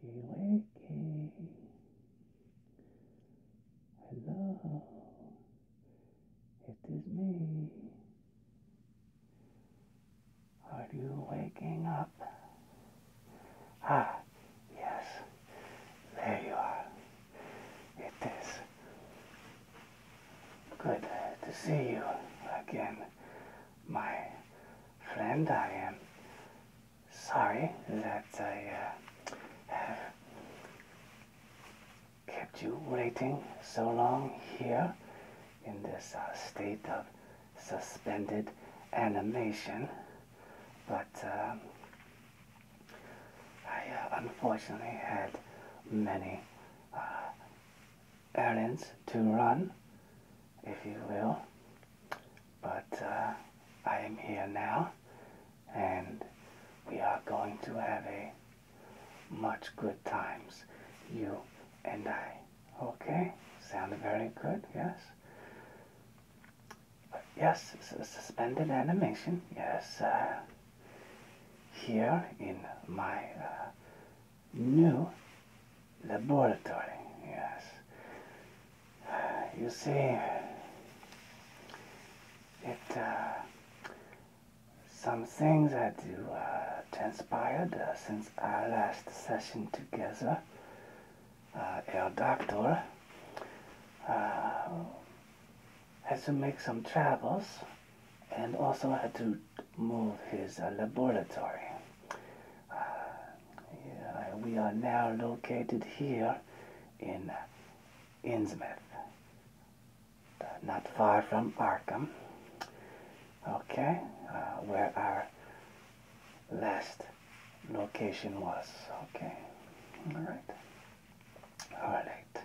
wakey, wakey. Hello, it is me. Are you waking up? Ah, yes, there you are. It is good to see you again, my friend. I am sorry that I uh, have kept you waiting so long here in this uh, state of suspended animation, but um, I uh, unfortunately had many uh, errands to run, if you will, but uh, I am here now and we are going to have a much good times, you and I. Okay? Sounded very good, yes? Yes, suspended animation, yes here in my uh, new laboratory. Yes. You see, it. Uh, some things that you uh, transpired uh, since our last session together. Uh, El Doctor had to make some travels and also had to move his uh, laboratory. Uh, we are now located here in Innsmouth, uh, not far from Arkham, okay, where our last location was, okay, all right. Alright.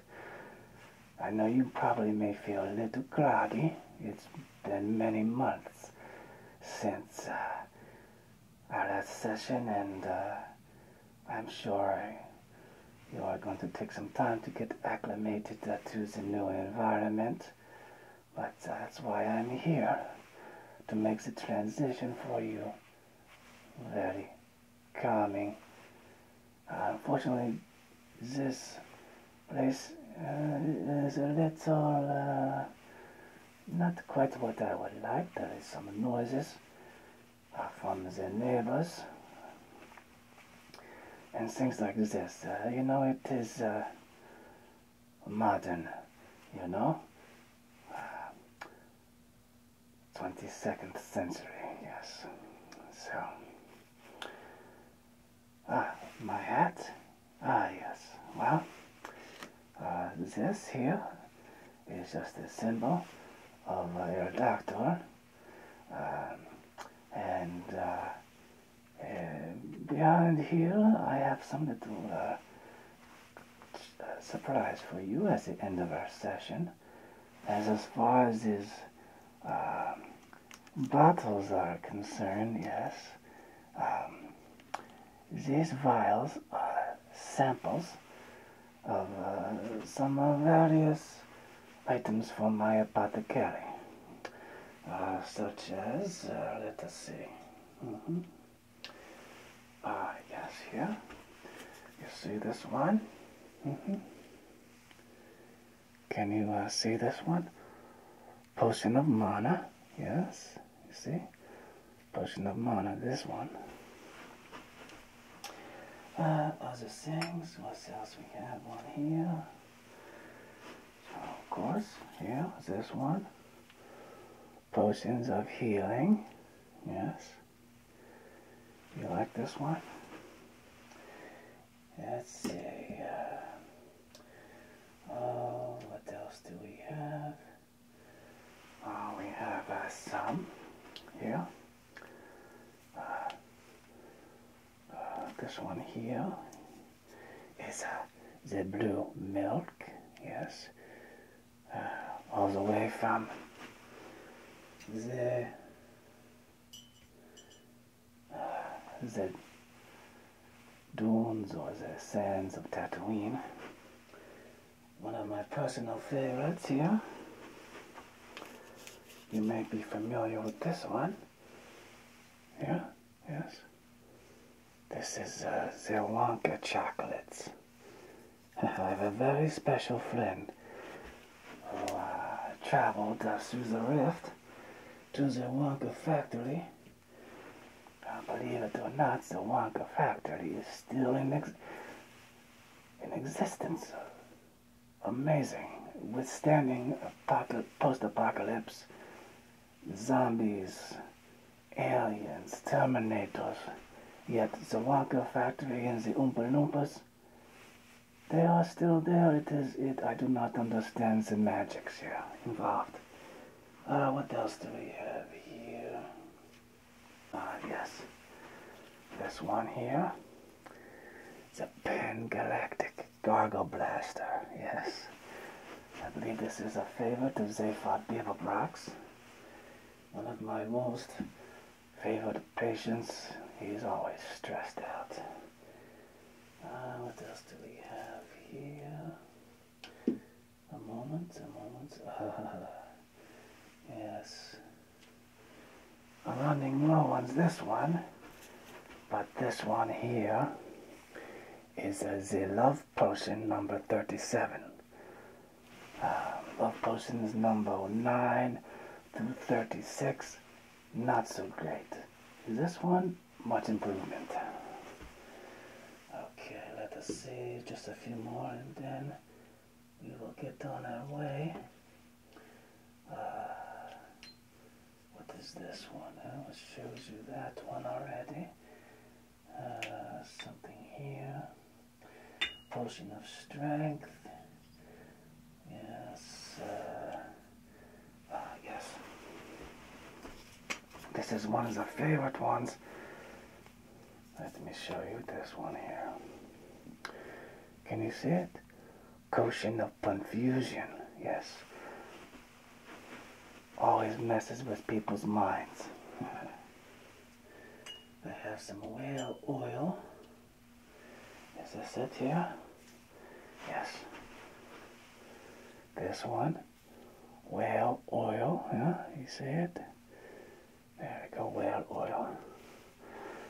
I know you probably may feel a little groggy. It's been many months since uh, our last session, and uh, I'm sure you are going to take some time to get acclimated to the new environment. But that's why I'm here to make the transition for you very calming unfortunately, uh, this place uh, is a little uh, not quite what I would like. There is some noises from the neighbors and things like this. you know, it is modern, you know. 22nd century, yes. So, ah, my hat? Ah, yes. Well, uh, this here is just a symbol of uh, your doctor. Um, and uh, uh, behind here, I have some little surprise for you at the end of our session. As as far as these um, bottles are concerned, yes, um, these vials are samples of uh, some various items from my apothecary, uh, such as, uh, let us see, mm -hmm. Ah, yes, here. You see this one? Mm-hmm. Can you uh, see this one? Potion of Mana. Yes, you see? Potion of Mana, this one. Uh, other things, what else we have One here? of course, yeah, this one. Potions of Healing. Yes. You like this one? Let's see. Uh, oh, what else do we have? Oh, we have uh, some here. Uh, uh, this one here is the blue milk, yes, all the way from the the dunes or the sands of Tatooine. One of my personal favorites here. You may be familiar with this one. Yeah, yes. This is uh, the Wonka chocolates. I have a very special friend who oh, traveled uh, through the rift to the Wonka factory. Uh, believe it or not, the Wonka factory is still in, ex in existence. Amazing. Withstanding post-apocalypse, zombies, aliens, terminators, yet the Wonka factory and the Oompa Loompas they are still there. It is it. I do not understand the magics here involved. Uh, what else do we have here? Ah, yes. This one here. It's a Pan Galactic Gargle Blaster. Yes. I believe this is a favorite of Zaphod Beaverbrox. One of my most Favor the patients. He's always stressed out. Ah, what else do we have here? A moment, a moment. Ah, yes. i running low on this one, but this one here is uh, the love potion number 37. Uh, love potions number 9 through 36 not so great. This one, much improvement. Okay, let us see, just a few more and then we will get on our way. Uh, what is this one? Oh, uh, it shows you that one already. Uh, something here. Potion of Strength. Yes. Uh, ah, yes. This is one of the favorite ones. Let me show you this one here. Can you see it? Cushion of confusion. Yes. Always messes with people's minds. I have some whale oil. Is this it here? Yes. This one. Whale oil, yeah, you see it? There we go, whale oil.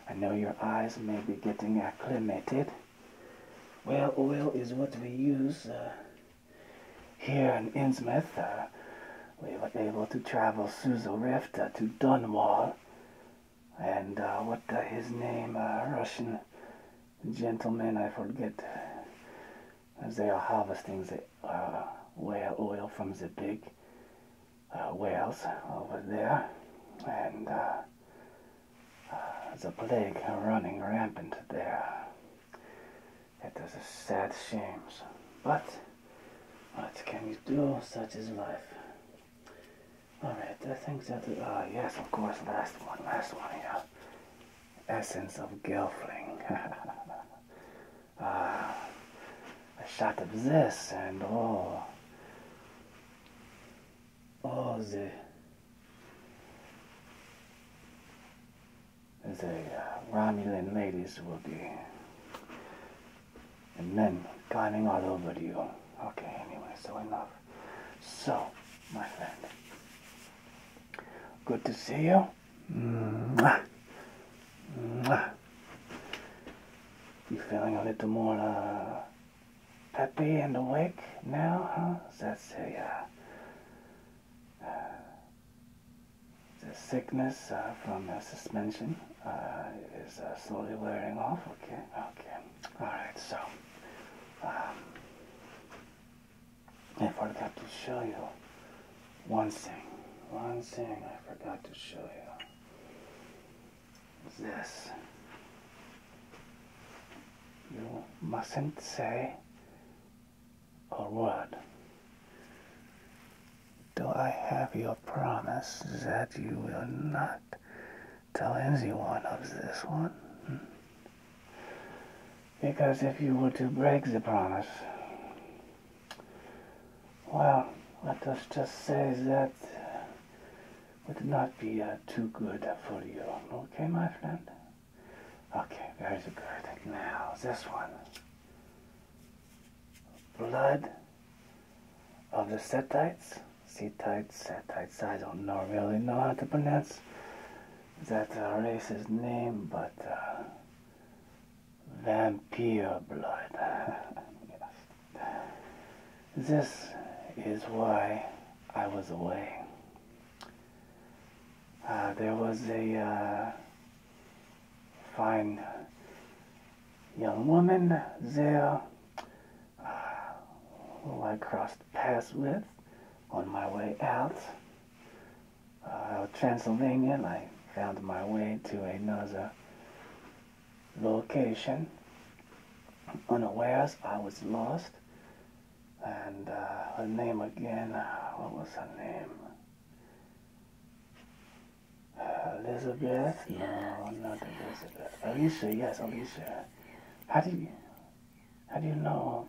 I know your eyes may be getting acclimated. Whale oil is what we use uh, here in Innsmouth. Uh, we were able to travel through rift uh, to Dunwall and uh, what his name, uh, Russian gentleman, I forget, as they are harvesting the uh, whale oil from the big uh, whales over there, and the plague running rampant there. It is a sad shame, but what can you do? Such is life. Alright, I think that, uh, yes, of course, last one, last one, yeah. Essence of Gelfling. uh, a shot of this, and oh. Oh, the. The uh, Romulan ladies will be and then climbing all over you. Okay, anyway, so enough. So, my friend, good to see you. Mwah. Mwah. You feeling a little more uh, peppy and awake now, huh? that uh, a, uh, the sickness uh, from the suspension uh, is slowly wearing off. Okay, okay. All right, so um, I forgot to show you one thing. One thing I forgot to show you is this. You mustn't say a word. Do I have your promise that you will not tell anyone of this one. Because if you were to break the promise, well, let us just say that would not be uh, too good for you. Okay, my friend? Okay, very good. Now, this one. Blood of the Setites, Setites, Setites, I don't know, really know how to pronounce that race's name, but uh, vampire blood. yes. This is why I was away. Uh, there was a uh, fine young woman there who uh, I crossed paths with on my way out uh, of Transylvania, I found my way to another location. Unawares, I was lost. And uh, her name again, uh, what was her name? Elizabeth? no, not Elizabeth. Alicia, yes, Alicia. How do you, how do you know?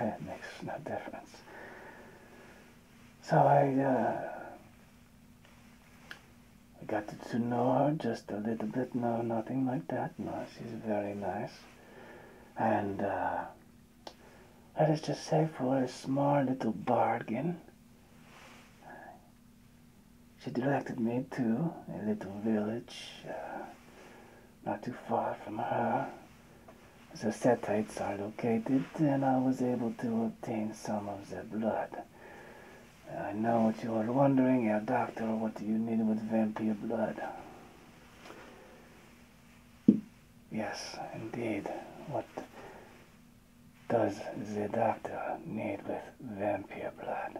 it makes no difference. So I, uh, I got to, know her just a little bit. No, nothing like that. No, she's very nice. And uh, let us just say for a small little bargain, she directed me to a little village uh, not too far from her. The setites are located, and I was able to obtain some of the blood. I know what you are wondering, Herr Doctor, what do you need with vampire blood? Yes, indeed. What does the doctor need with vampire blood?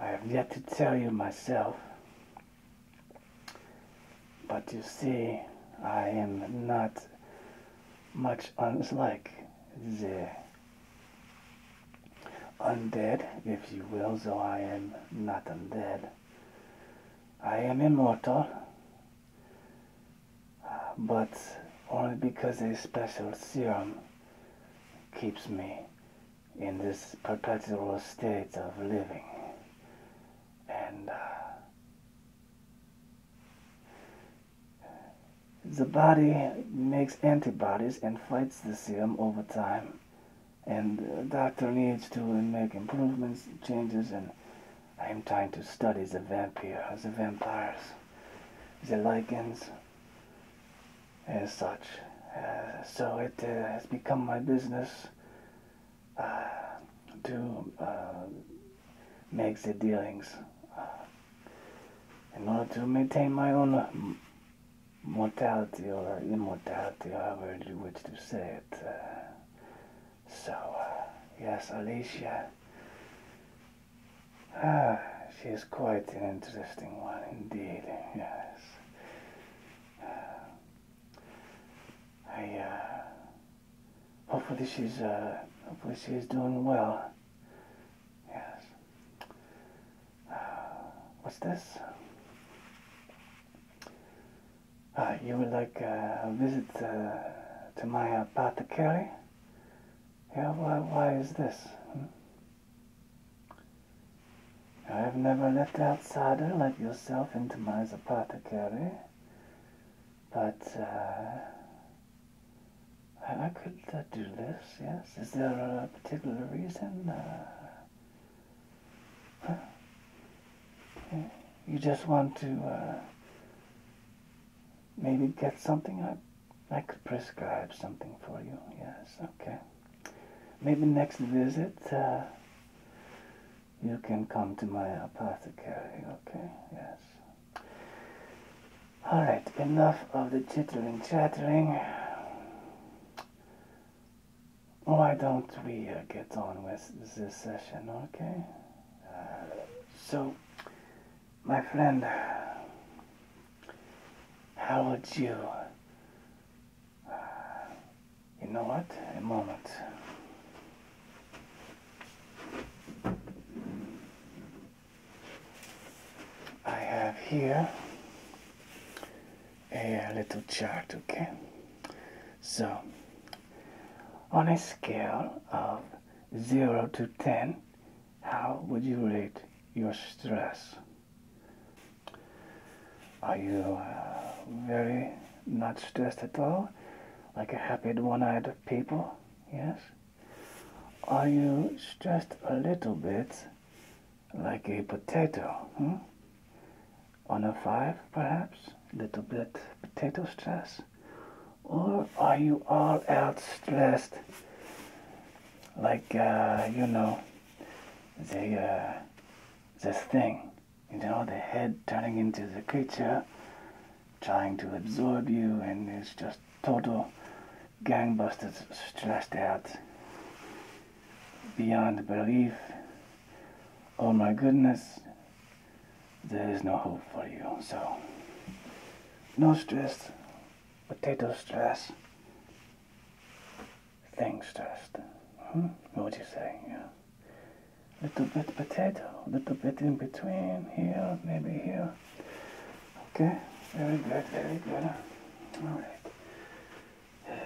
I have yet to tell you myself, but you see, I am not much unlike the undead, if you will, though I am not undead. I am immortal but only because a special serum keeps me in this perpetual state of living. And uh, the body makes antibodies and fights the serum over time. And the doctor needs to make improvements, changes, and I'm trying to study the vampires, the vampires the lichens and such. Uh, so it uh, has become my business uh, to make the dealings in order to maintain my own mortality or immortality, however you wish to say it. so, yes, Alicia Ah, she is quite an interesting one indeed, yes. Ah, I, uh, hopefully she's, uh, hopefully she is doing well. Yes. Ah, what's this? Uh, you would like uh, a visit uh, to my Kelly? Uh, yeah, why, why is this? I have never let outsider let yourself into my apothecary, but uh, I, could uh, do this, yes. Is there a particular reason? Uh, you just want to maybe get something. I, I could prescribe something for you. Yes, okay. Maybe next visit uh, you can come to my apothecary. Okay, yes. Alright, enough of the chittering chattering. Why don't we uh, get on with this session, okay? Uh, so, my friend, how would you. You know what? A moment. I have here a little chart, okay? So, on a scale of 0 to 10, how would you rate your stress? Are you uh, very not stressed at all? Like a happy one-eyed people? Yes? Are you stressed a little bit? Like a potato, hmm? On a five, perhaps? a Little bit potato stress? Or are you all out stressed? like uh, you know the uh, this thing, you know, the head turning into the creature, trying to absorb you, and it's just total gangbusters, stressed out beyond belief. Oh my goodness, there is no hope for you. So, no stress, potato stress, thing stressed. Hmm? What would you say? Yeah. Little bit potato, little bit in between here, maybe here. Okay, very good, very good. All right.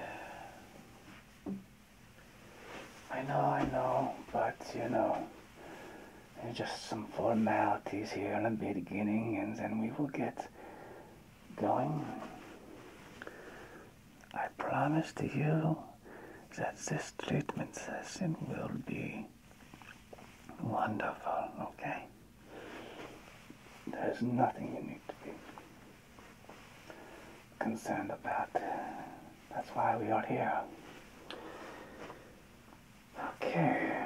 I know, I know, but you know, just some formalities here in the beginning and then we will get going. I promise to you that this treatment session will be wonderful, okay? There's nothing you need to be concerned about. That's why we are here. Okay,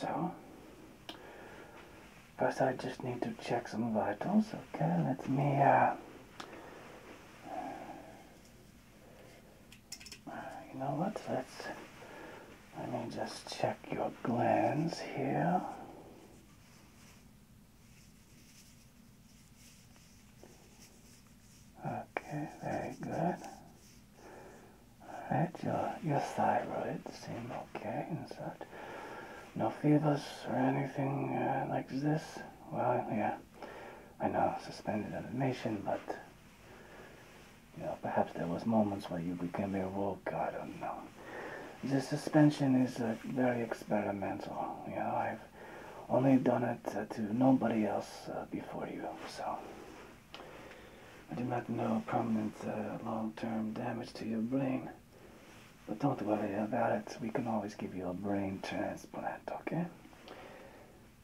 so first I just need to check some vitals. Okay, let me uh, you know what? Let's let me just check your glands here. Okay, very good. Alright, your, your thyroids seem okay and such. No fevers or anything uh, like this. Well, yeah, I know, suspended animation, but, you know, perhaps there was moments where you became awoke, I don't know. The suspension is uh, very experimental, you know, I've only done it uh, to nobody else before you, so... I do not know permanent uh, long-term damage to your brain, but don't worry about it. We can always give you a brain transplant, okay?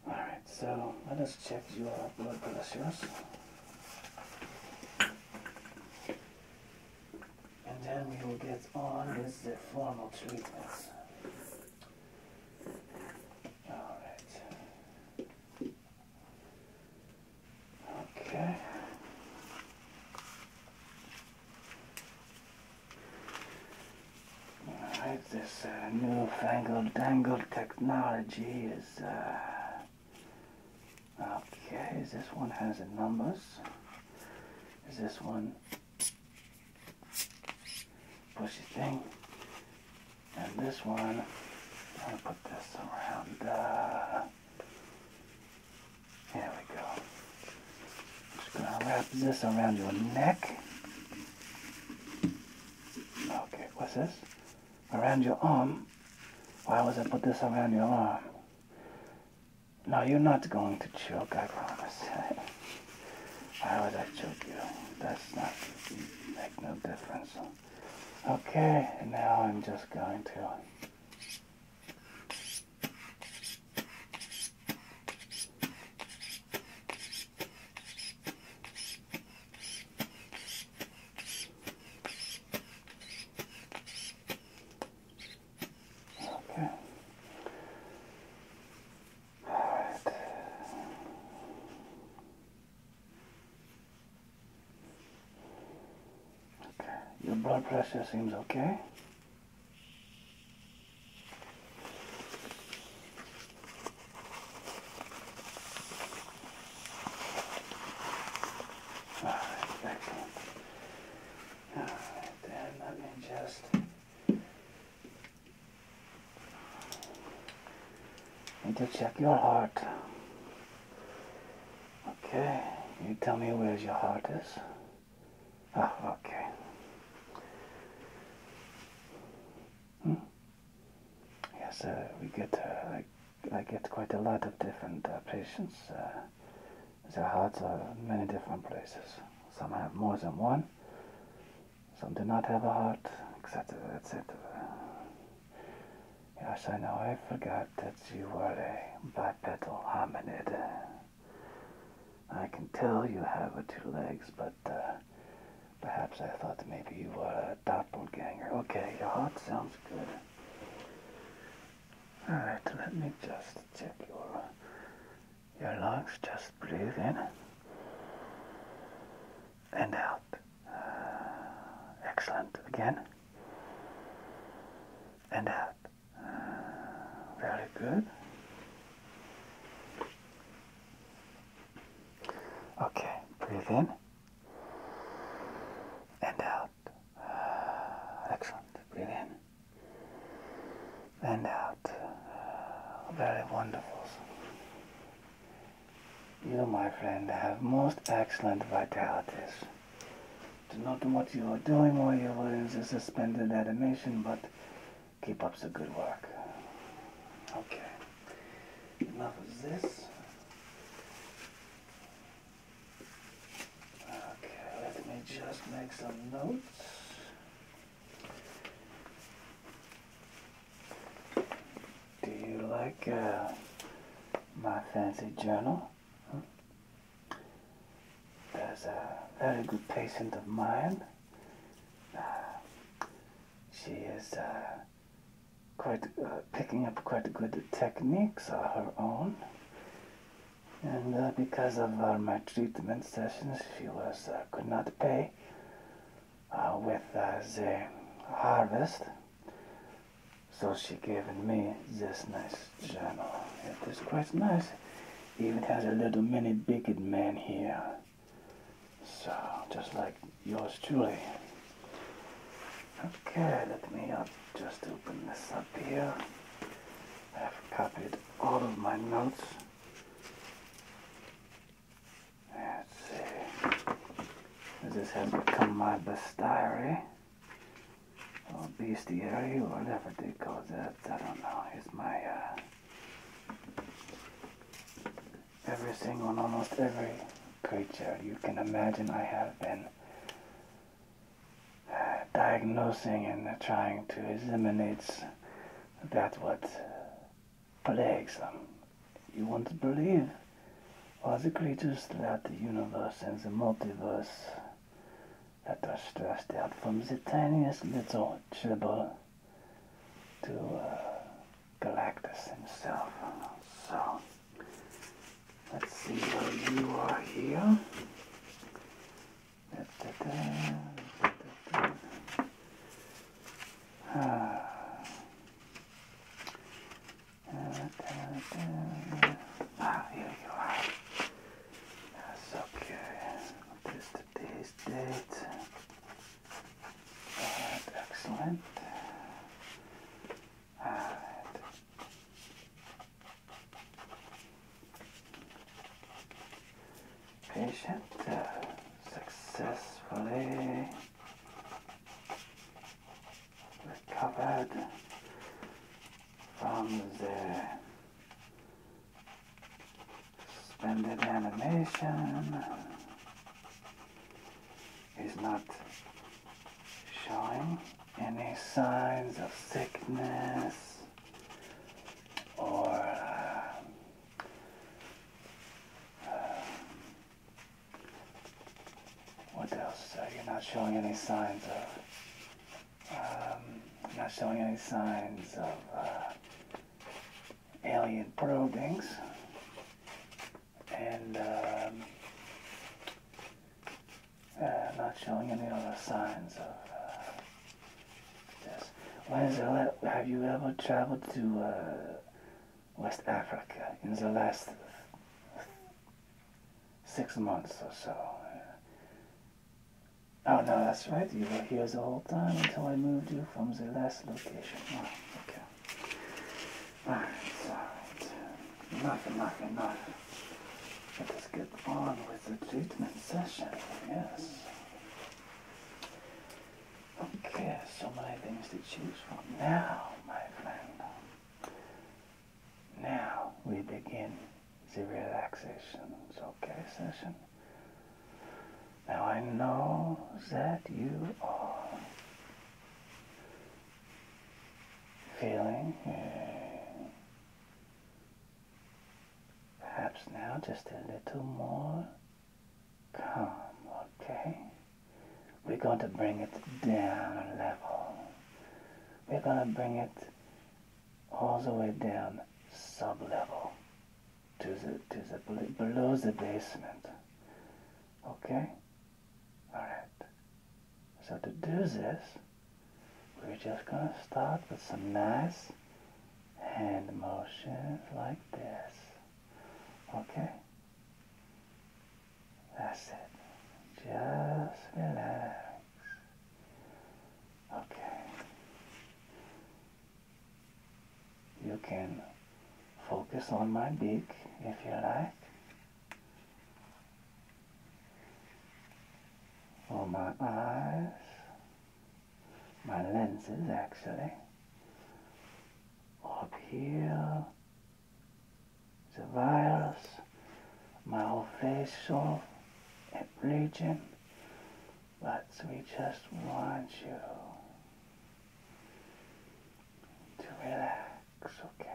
Alright, so let us check your blood pressures. And then we will get on with the formal treatment. Alright. Okay. Alright, this uh, newfangled dangled technology is. Uh, okay, this one has the numbers. Is this one pushy thing? And this one, i am gonna put this around. Uh, there we go. I'm just going to wrap this around your neck. Okay, what's this? Around your arm? Why was I put this around your arm? No, you're not going to choke, I promise. Why would I choke you? That's not make no difference. Okay, now I'm just going to Okay, your blood pressure seems okay. Alright, excellent. Alright, then let me just need to check your heart. Okay, you tell me where's your heart is. Ah, okay. Hmm? Yes, uh, we get uh, I, get quite a lot of different uh, patients. their hearts are many different places. Some have more than one. Some do not have a heart, etc., etc. Yes, I know, I forgot that you were a bipedal hominid. I can tell you have two legs, but uh, perhaps I thought maybe you were a doppelganger. Okay, your heart sounds good. Alright, let me just check your, your lungs. Just breathe in and out. Uh, excellent. Again and out. Uh, very good. Okay, breathe in and out. excellent. Breathe in and out. very wonderful. You, my friend, have most excellent vitalities. Do not know what you are doing or you lose a suspended animation, but keep up the good work. Okay. Enough of this. Okay, let me just make some notes. Do you like uh, my fancy journal? There's a very good patient of mine. Uh, she is uh, quite uh, picking up quite good techniques of her own. And because of uh, treatment sessions, she was could not pay with the harvest. So she gave me this nice journal. At this Christmas, Even has a little mini bigot man here. So just like yours truly. Okay, let me just open this up here. I've copied all of my notes. Let's see. This has become my best diary. Oh, bestiary, whatever they call that, I don't know. It's my, uh, everything almost every creature you can imagine I have been uh, diagnosing and trying to eliminate that what plagues them. You won't believe all the creatures throughout the universe and the multiverse that are stretched out from the tiniest little chibble to uh, Galactus himself. So, let's see where you are here. Ah. Ah, here you are. That's okay. What is today's date? excellent. Patient successfully recovered from the suspended animation is not showing any signs of sickness or uh, what else is uh, you're not showing any signs of? Um, not showing any signs of uh, alien probings. And um, uh, not showing any other signs of uh, this. When is the have you ever traveled to West Africa in the last six months or so. Oh no, that's right. You were here the whole time until I moved you from the last location. Oh, okay. Alright, alright. Enough, enough, enough. Let us get on with the treatment session, yes. Okay, so many things to choose from now, my friend. Now we begin the relaxation okay session. Now I know that you are feeling eh, perhaps now just a little more calm, okay? We're going to bring it down a level we're gonna bring it all the way down sub-level to the, to the, below the basement. Okay? Alright. So to do this, we're just gonna start with some nice hand motions like this. Okay? That's it. Just relax. Okay. You can focus on my beak if you like. Or my eyes. My lenses actually. Up here the virus, my myofascial region, but we just want you to relax, okay?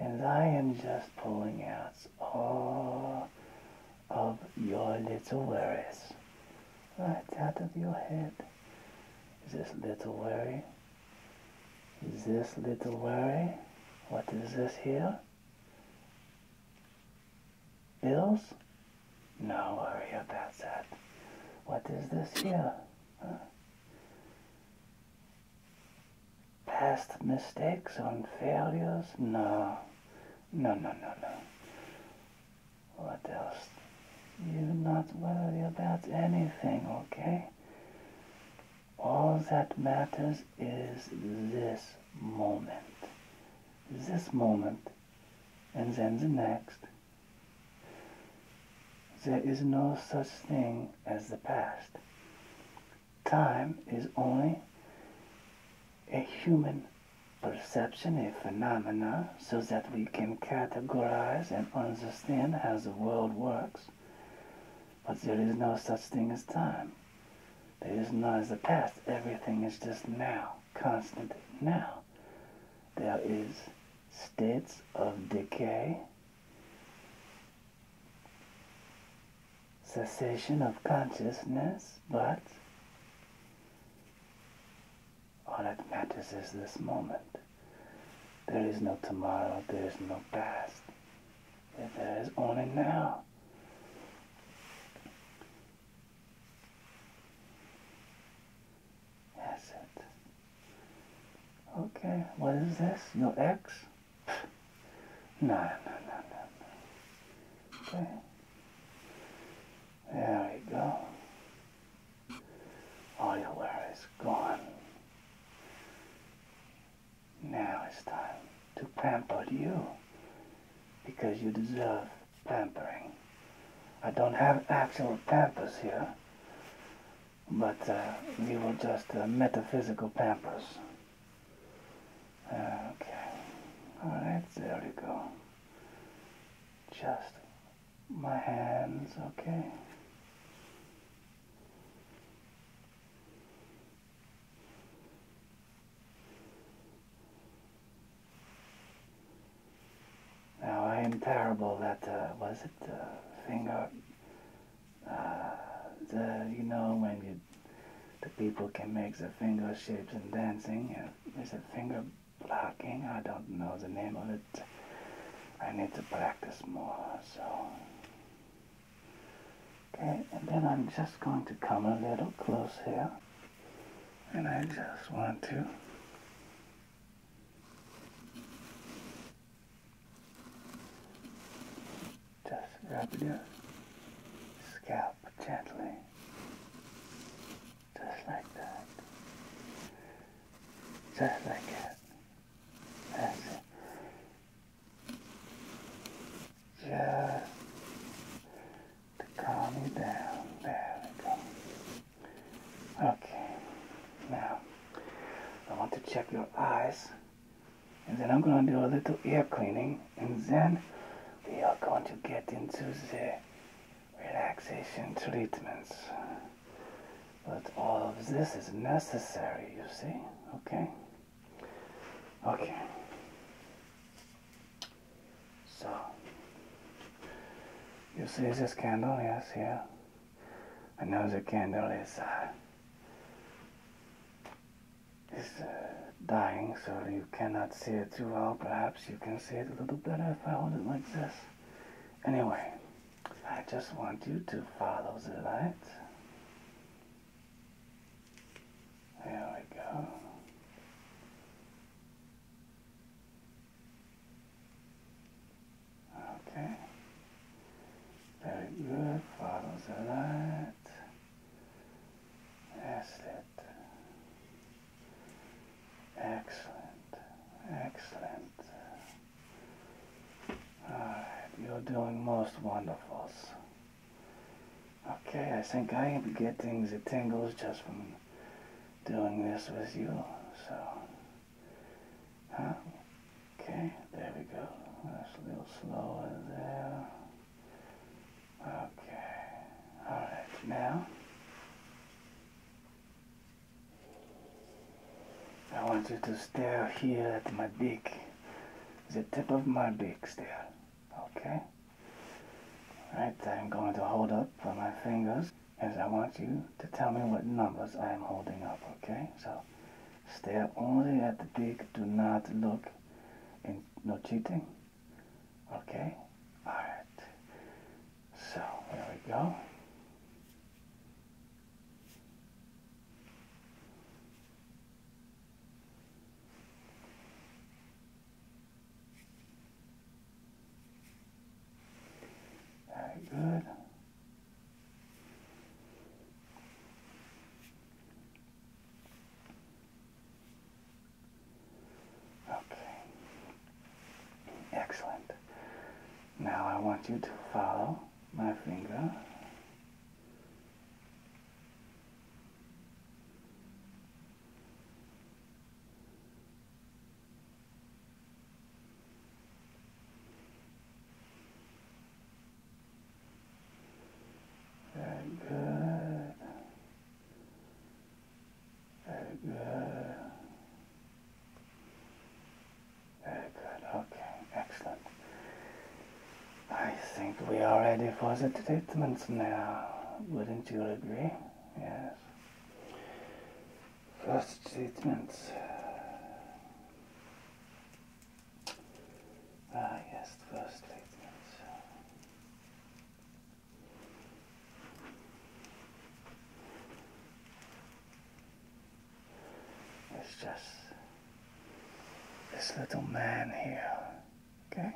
And I am just pulling out all of your little worries. Right out of your head. Is this little worry? Is This little worry. What is this here? Bills? No worry about that. What is this here? Past mistakes and failures? No. No, no, no, no. What else? You are not worry about anything, okay? All that matters is this moment. This moment, and then the next. There is no such thing as the past. Time is only a human perception, a phenomena, so that we can categorize and understand how the world works. But there is no such thing as time. There is none as a past. Everything is just now, constant now. There is states of decay, cessation of consciousness, but all that matters is this moment. There is no tomorrow, there is no past that is on it now. That's it. Okay, what is this? Your ex? no, no, no, no, Okay. There we go. All your wear is gone. Now it's time to pamper you because you deserve pampering. I don't have actual pampers here, but uh, we will just uh, metaphysical pampers. Okay, alright, there we go. Just my hands, okay? Now I am terrible at, uh, was it the uh, finger? Uh, the, you know when you, the people can make the finger shapes and dancing, uh, is it finger blocking? I don't know the name of it. I need to practice more, so Okay, and then I'm just going to come a little closer, And I just want to just rub your scalp gently. Just like that. Just like that. That's it. Just to calm you down. There we go. Okay. Now, I want to check your eyes. And then I'm going to do a little ear cleaning. And then we are going to get into the relaxation treatments. But all of this is necessary, you see? Okay? Okay. So, you see this candle? Yes, yeah. I know the candle is, uh, is uh, dying, so you cannot see it too well. Perhaps you can see it a little better if I hold it like this. Anyway, I just want you to follow the light. There we go. Okay. Very good. Follows the light. That's it. Excellent. Excellent. Alright, you're doing most wonderfuls. Okay, I think I am getting the tingles just from doing this with you. So, huh? Okay, there we go. That's a little slower there. Okay, alright, now. I want you to stare here at my dick the tip of my beaks there. Okay? Right, I'm going to hold up with my fingers as I want you to tell me what numbers I am holding up, okay? So stare only at the beak, do not look and no cheating. Okay? Alright. So there we go. Very good. Okay. Excellent. Now I want you to follow my finger very good. Very good. Okay, excellent. I think we are ready for the treatments now. Wouldn't you agree? Yes. First treatment. Ah, yes, first treatment. It's just this little man here. Okay?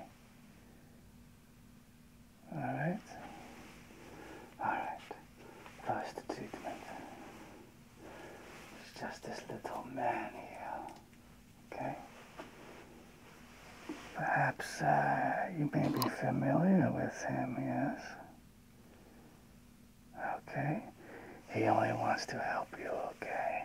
Alright? Alright. First treatment. It's just this little man here. Okay? Perhaps uh, you may be familiar with him, yes? Okay? He only wants to help you, okay?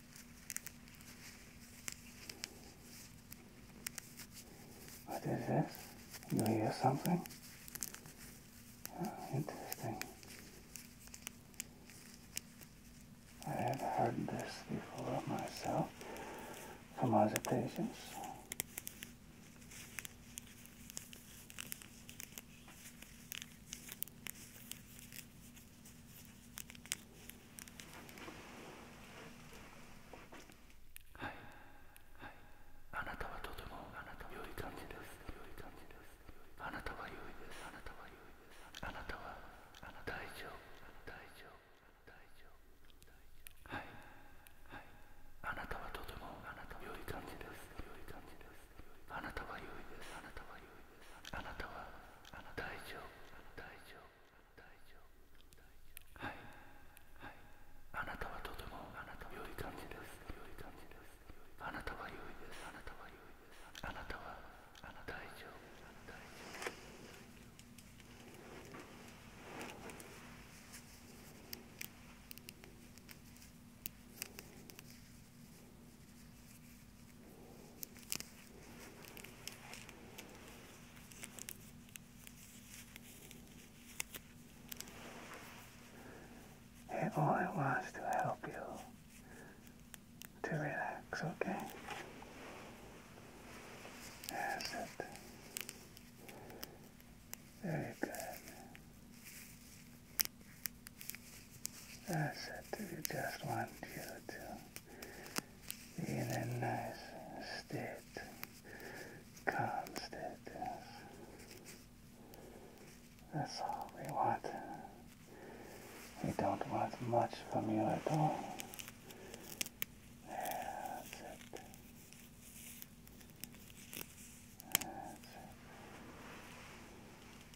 What is this? You hear something? Oh, interesting. I have heard this before myself from other patients. はいはいあなたはとてもあなたは良い感じですより感じですあなたは良いですあなたは良いですあなたはあなた大丈大丈夫大丈夫はいはいあなたはとてもあなたは良い感じですより感じですあなたは良いですあなたは良いあなたはあなた大丈夫大丈夫大丈夫はいはいあなたはとてもあなたは良い感じです良い感じですあなたは良いですあなたは良いですあなたはあなた大丈夫大丈夫あ It only wants to help you to relax, okay? That's it. Very good. That's it. We just want you to be in a nice state, calm That's all we want. We don't want much from you at all. That's it. That's it.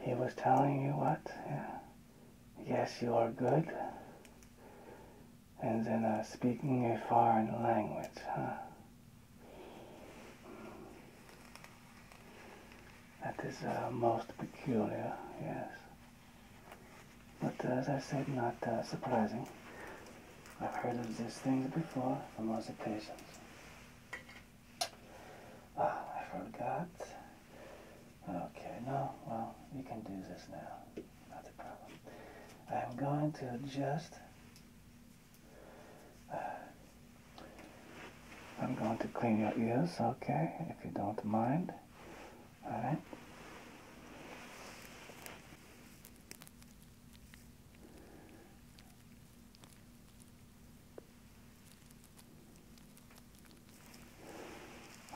He was telling you what? Yes, you are good. And then uh, speaking a foreign language, huh? That is uh, most peculiar, yes. But uh, as I said, not surprising. I've heard of these things before from other patients. Oh, I forgot. Okay, no, well, we can do this now. Not a problem. I'm going to just... Uh, I'm going to clean your ears, okay, if you don't mind. Alright?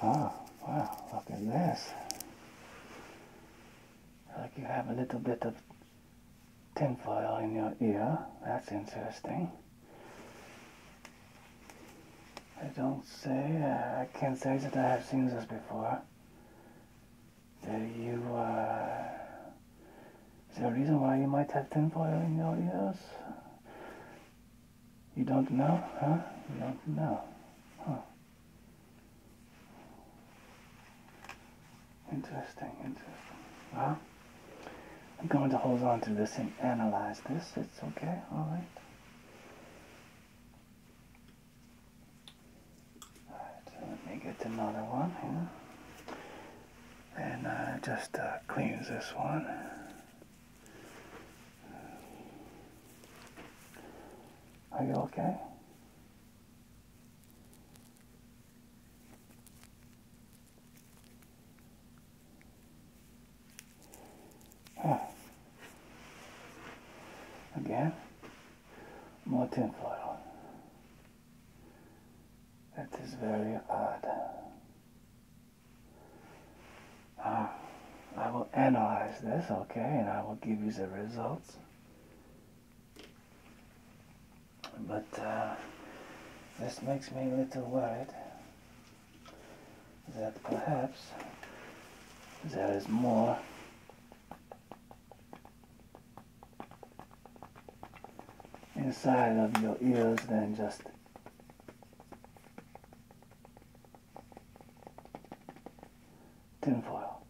Oh, wow, look at this. Like you have a little bit of tinfoil in your ear. That's interesting. I don't say, uh, I can't say that I have seen this before. Do you, uh, is there a reason why you might have tinfoil in your ears? You don't know, huh? You don't know, huh? Interesting, interesting. Well, I'm going to hold on to this and analyze this. It's okay, alright? Alright, let me get another one here and uh, just uh, cleans this one. Are you okay? Ah. Again, more tinfoil. That is very odd. I will analyze this, okay, and I will give you the results. But uh, this makes me a little worried that perhaps there is more inside of your ears than just tinfoil.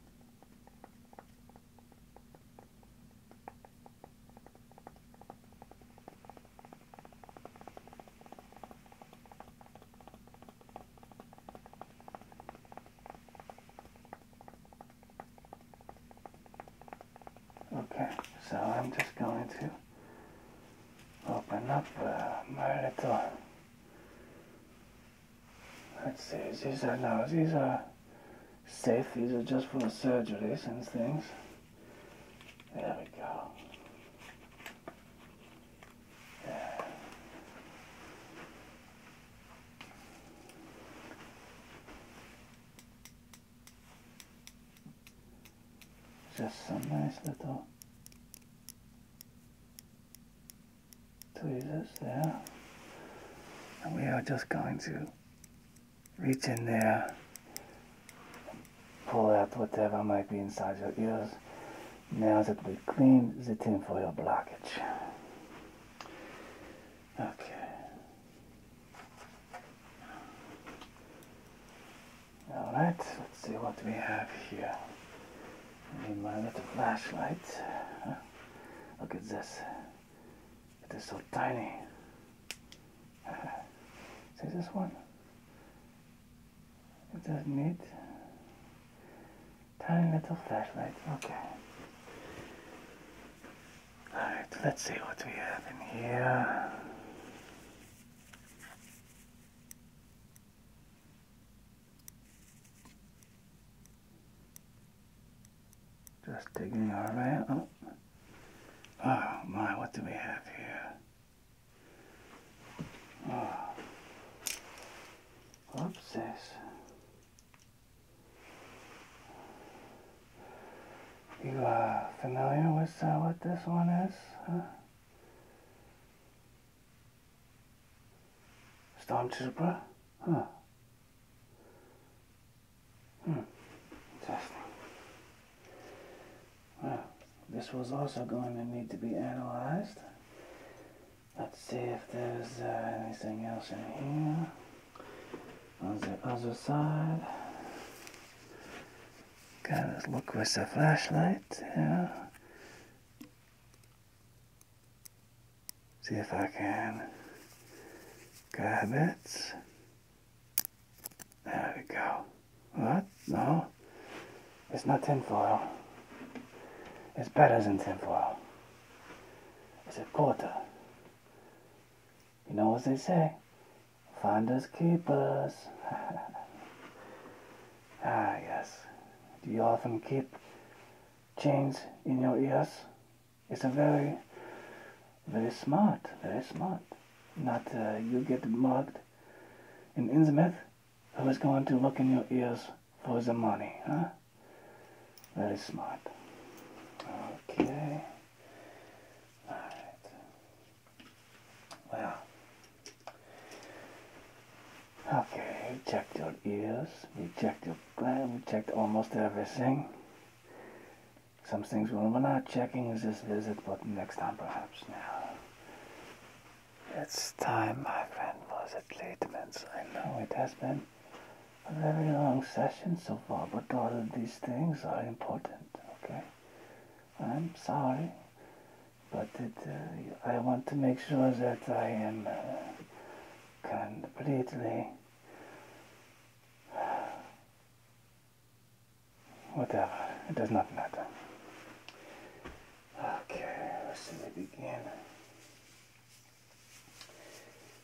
Okay, so I'm just going to open up uh, my little. Let's see, these are no. these are safe, these are just for the surgeries and things. There we go. Yeah. Just some nice little tweezers there. And we are just going to reach in there, pull out whatever might be inside your ears. Now that we cleaned the tinfoil blockage. Okay. Alright, let's see what we have here. I my little flashlight. Look at this. It is so tiny. see this one? It does tiny little flashlight. Okay. Alright, let's see what we have in here. Just digging our way up. Oh my, what do we have here? What's oh. this? You uh, familiar with uh, what this one is? Huh? Stormtrooper? Huh. Hmm. Interesting. this was also going to need to be analyzed. Let's see if there's uh, anything else in here. On the other side. Gotta look with the flashlight. Yeah. See if I can grab it. There we go. What? No. It's not tin foil. It's better than tin foil. It's a quarter. You know what they say? Finders keepers. ah, yes. Do you often keep chains in your ears? It's a very, very smart, very smart. Not uh, you get mugged in Innsmouth. Who is going to look in your ears for the money, huh? Very smart. Okay. Alright. Well, Okay, we checked your ears, we checked your gland, we checked almost everything. Some things we're not checking is this visit, but next time perhaps now. It's time, my friend, was it late, minutes? I know it has been a very long session so far, but all of these things are important, okay? I'm sorry, but it, uh, I want to make sure that I am uh, completely whatever. It does not matter. Okay, let's begin.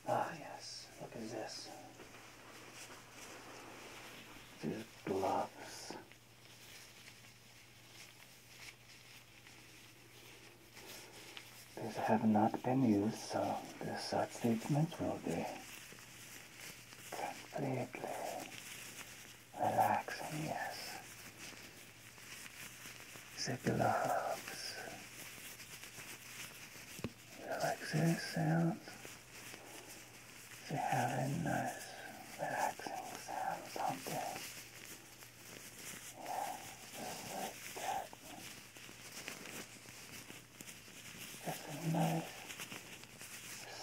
Ah yes, look at this. These gloves. These have not been used, so the short statement will be completely relaxing, yes. Secular hubs. Relaxation to a nice, relaxing sound, something just like that. Just a nice,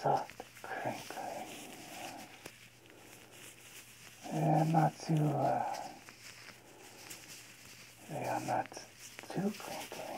soft crinkling. They're not too, uh, they are not too crinkling.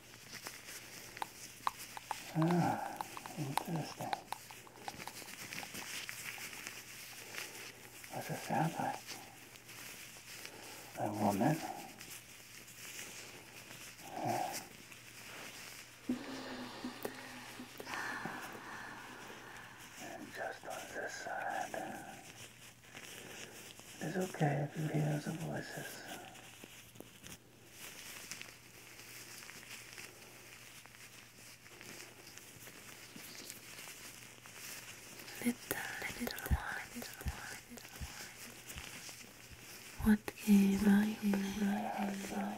Ah, interesting. What does A woman? Yeah. And just on this side. It is okay if you hear the voices. Little, little one. What game are you playing?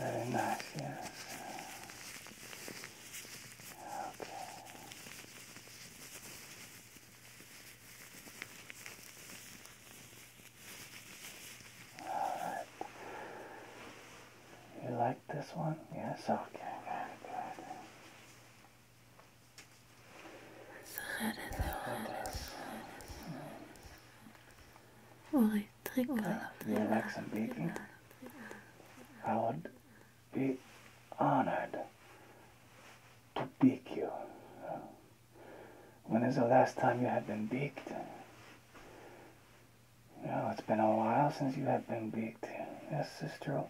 Very nice, yes. Okay. Alright. You like this one? Yes, okay, very good. Sarı, sarı, sarı the election meeting, I would be honored to bake you. When is the last time you have been beaked? You it's been a while since you have been beaked, Yes, sister,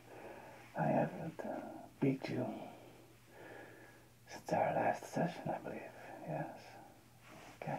I haven't uh, beaked you since our last session, I believe. Yes. Okay.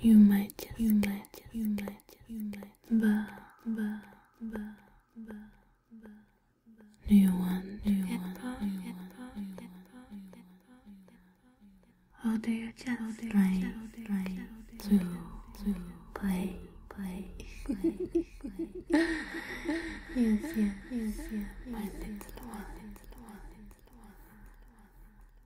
You might just you might just you might just you might bah, bah, bah, bah, bah. Do you want do you want do you want do you want Or do you just like like to to play play play play Yes yeah yes yeah my little one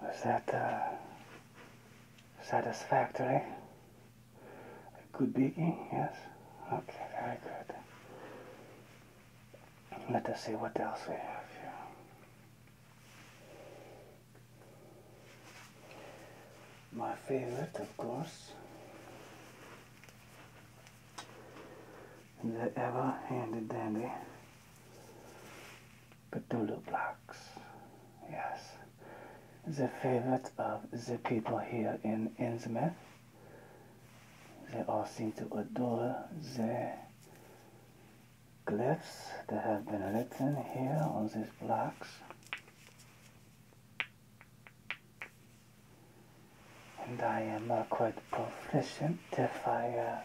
Was that uh, satisfactory? A good beating, yes? Okay, very good. Let us see what else we have here. My favorite, of course, the ever-handy dandy Cthulhu blocks. Yes, a favorite of the people here in Innsmouth. They all seem to adore the glyphs that have been written here on these blocks and I am uh, quite proficient, if I uh,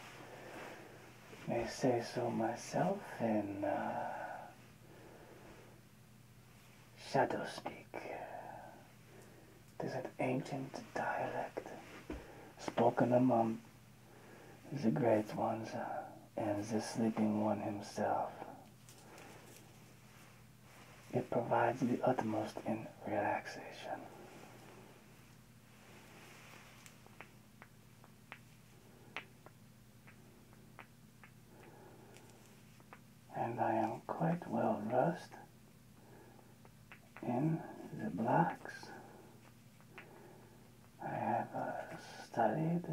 may say so myself, in uh, shadow speak. It is an ancient dialect spoken among the great ones uh, and the sleeping one himself. It provides the utmost in relaxation and I am quite well versed in the blocks. I have uh, studied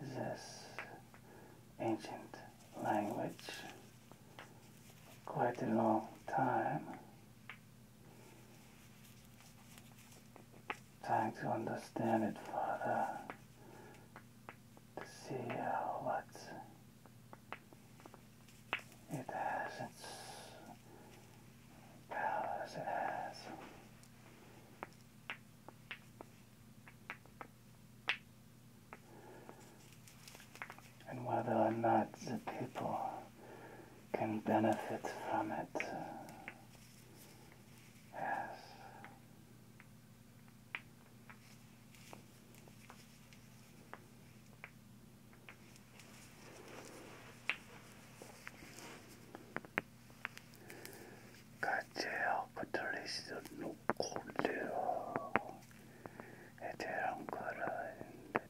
this ancient language quite a long time trying to understand it further to see what it has its powers it has and whether or not the people can benefit from it. Uh, yes. 가재어 부터리시도 놓고 돼요. 애들한 거라 했는데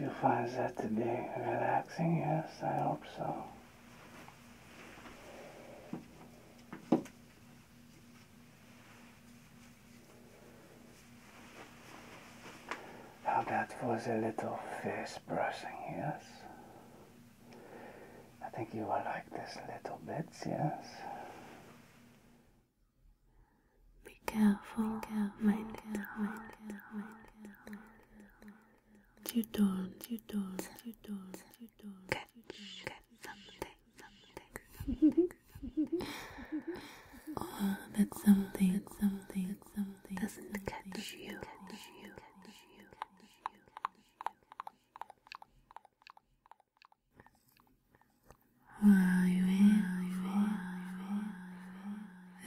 You find that to be relaxing, yes, I hope so. How about for a little face brushing, yes? I think you will like this little bit, yes. Be careful, Be careful. You don't, Catch, something, oh, that something, doesn't Catch you.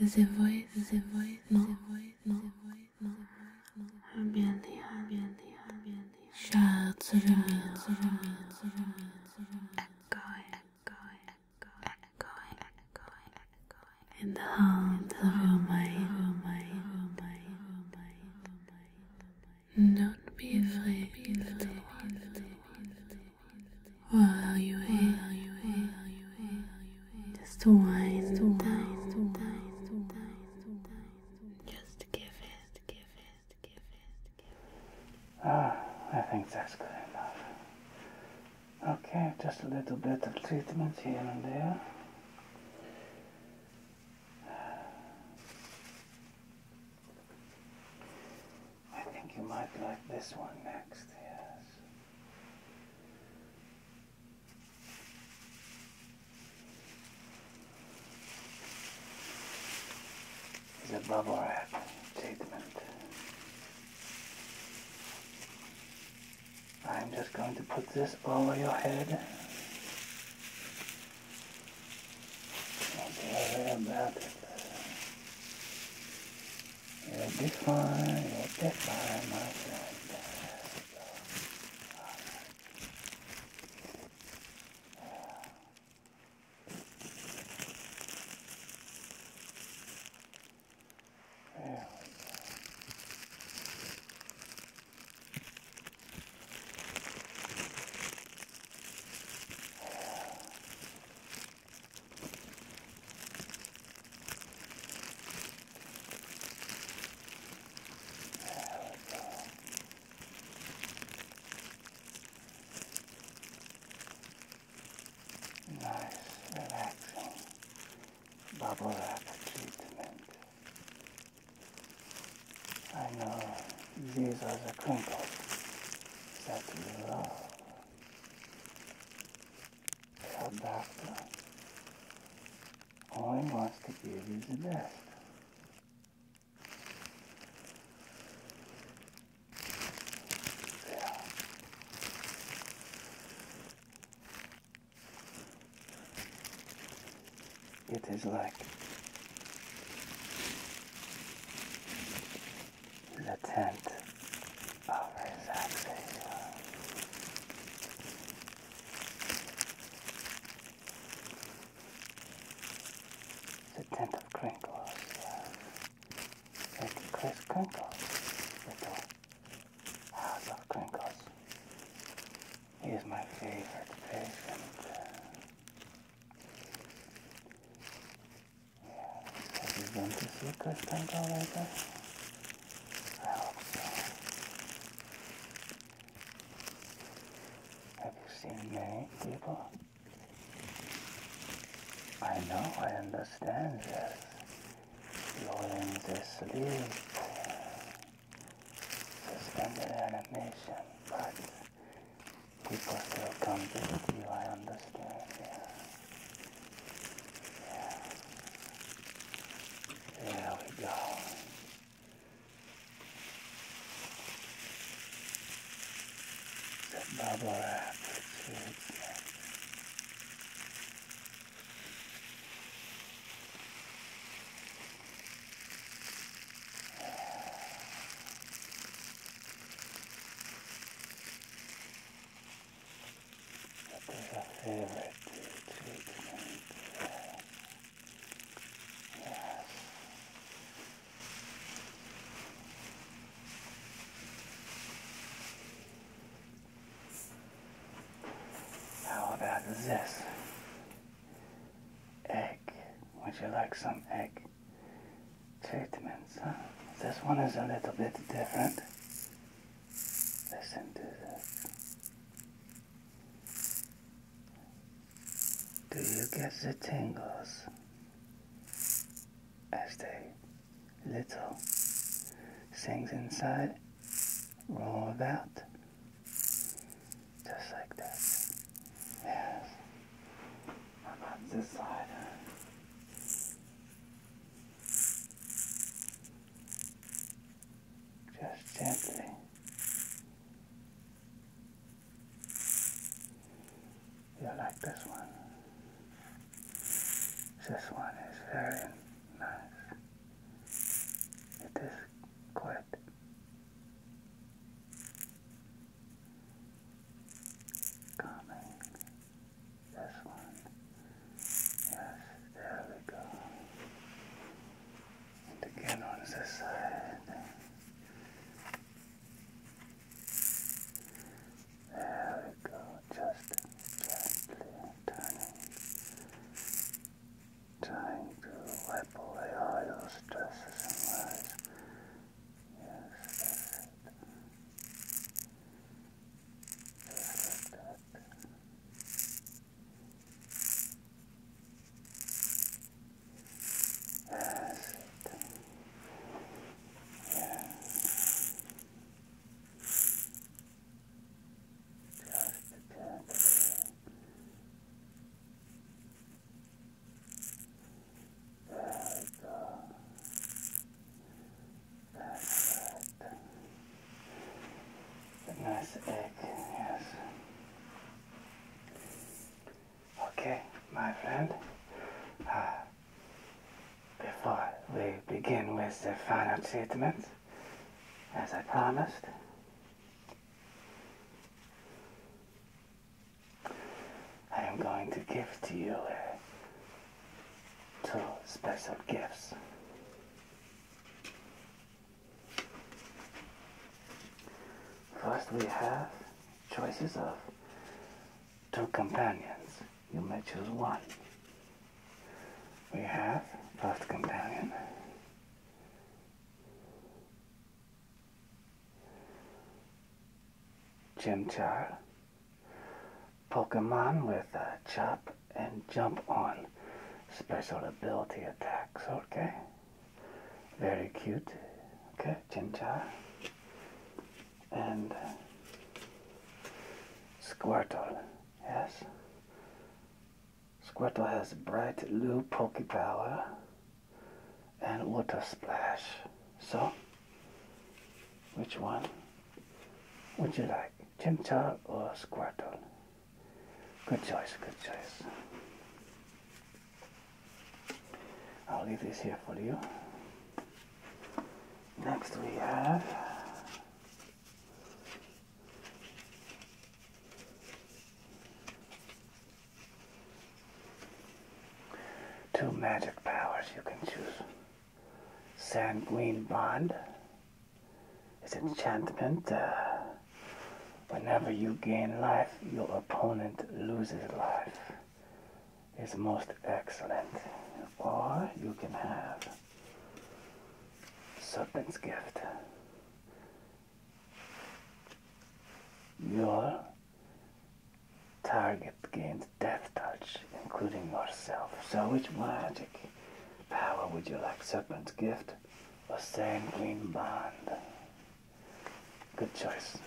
The voice, the voice, no, the voice, no, the voice, no, no. Her belly, her belly, her belly. Shout to the meat, to the meat, to the meat, to the meat. Echo, echo, echo, echo, echo, echo. In the heart of your mind, your mind, your mind, your mind. Don't be afraid, little one. While you ache, just wind die. Just give it, give it, give it, give it. Ah, I think that's good enough. Okay, just a little bit of treatment here and there. I think you might like this one next, yes. It's a bubble wrap treatment. I'm just going to put this over your head. Don't worry about it. You'll be fine, you'll be fine, my friend. Nice, relaxing bubble wrap treatment. I know these are the crinkles that you love. The doctor only wants to give you the best. There. It is like the tent of relaxation. The tent of crinkles. Like Crinkles. Little house of crinkles. He is my favorite patient. Uh, have you been to see Kristen Gallagher? I hope so. Have you seen many people? I know, I understand this. You're in this sleep suspended animation, but people still come to see. I understand, There we go. The bubble wrap that is our favorite treatment. Yes. How about this? egg. Would you like some egg treatments? This one is a little bit different. Listen to this. Do you get the tingles as the little things inside roll that. Just like that. Yes. How about this side? Just gently. You like this one? This one is very nice. It is quite Coming. This one. Yes, there we go. And again on this side. There we go, just gently turning trying to wipe away all your stresses and worries. Yes, that's it. Yes. Just gently, a nice egg, yes. Okay, my friend. Uh, before we begin with the final treatment, as I promised, I am going to give to you uh, two special gifts. First, we have choices of two companions. You may choose one. We have first companion. Chimchar. Pokemon with chop and jump on special ability attacks, okay? Very cute. Okay, Chimchar. And uh, Squirtle, yes? Squirtle has bright blue Poke Power and Water Splash. So, which one would you like, Chimchar or Squirtle? Good choice, good choice. I'll leave this here for you. Next we have Two magic powers you can choose. Sanguine Bond is enchantment. Uh, whenever you gain life, your opponent loses life. Is most excellent. Or you can have Serpent's Gift. Your target gains death touch, including yourself. So which magic power would you like? Serpent's gift or sanguine bond? Good choice.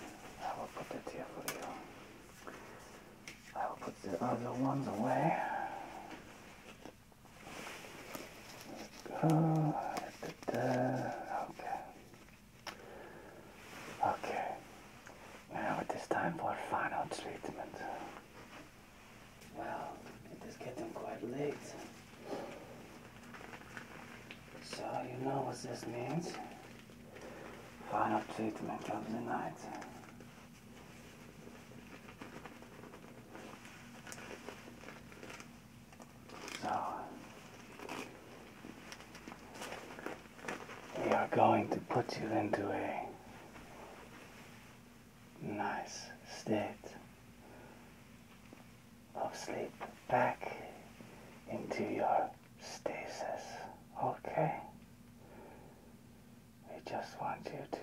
I will put it here for you. I will put the other ones away. go. Okay. Okay, now it is time for final treatment. Well, it is getting quite late. So you know what this means? Final treatment of the night. So, we are going to put you into a nice state of sleep back into your stasis, okay? We just want you to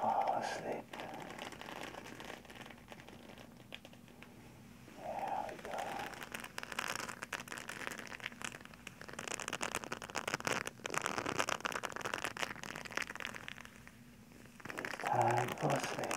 Fall asleep. There we go. time for sleeping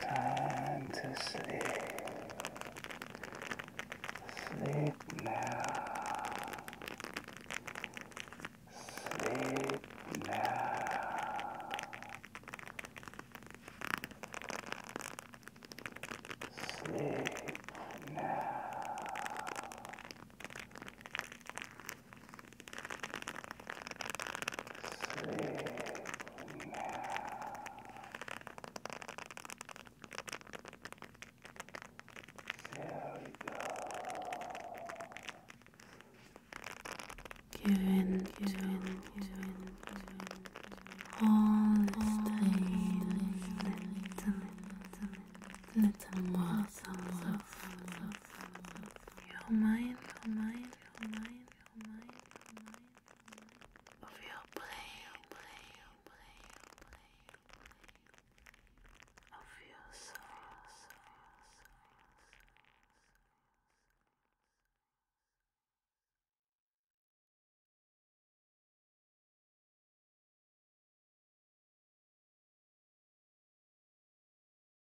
Time to sleep. Sleep now. Sleep now. Sleep now. Sleep now. There we go. Give in, give All the tiny little, little, little muscles your mind, your mind your mind, your mind, Of your brain, Of your soul.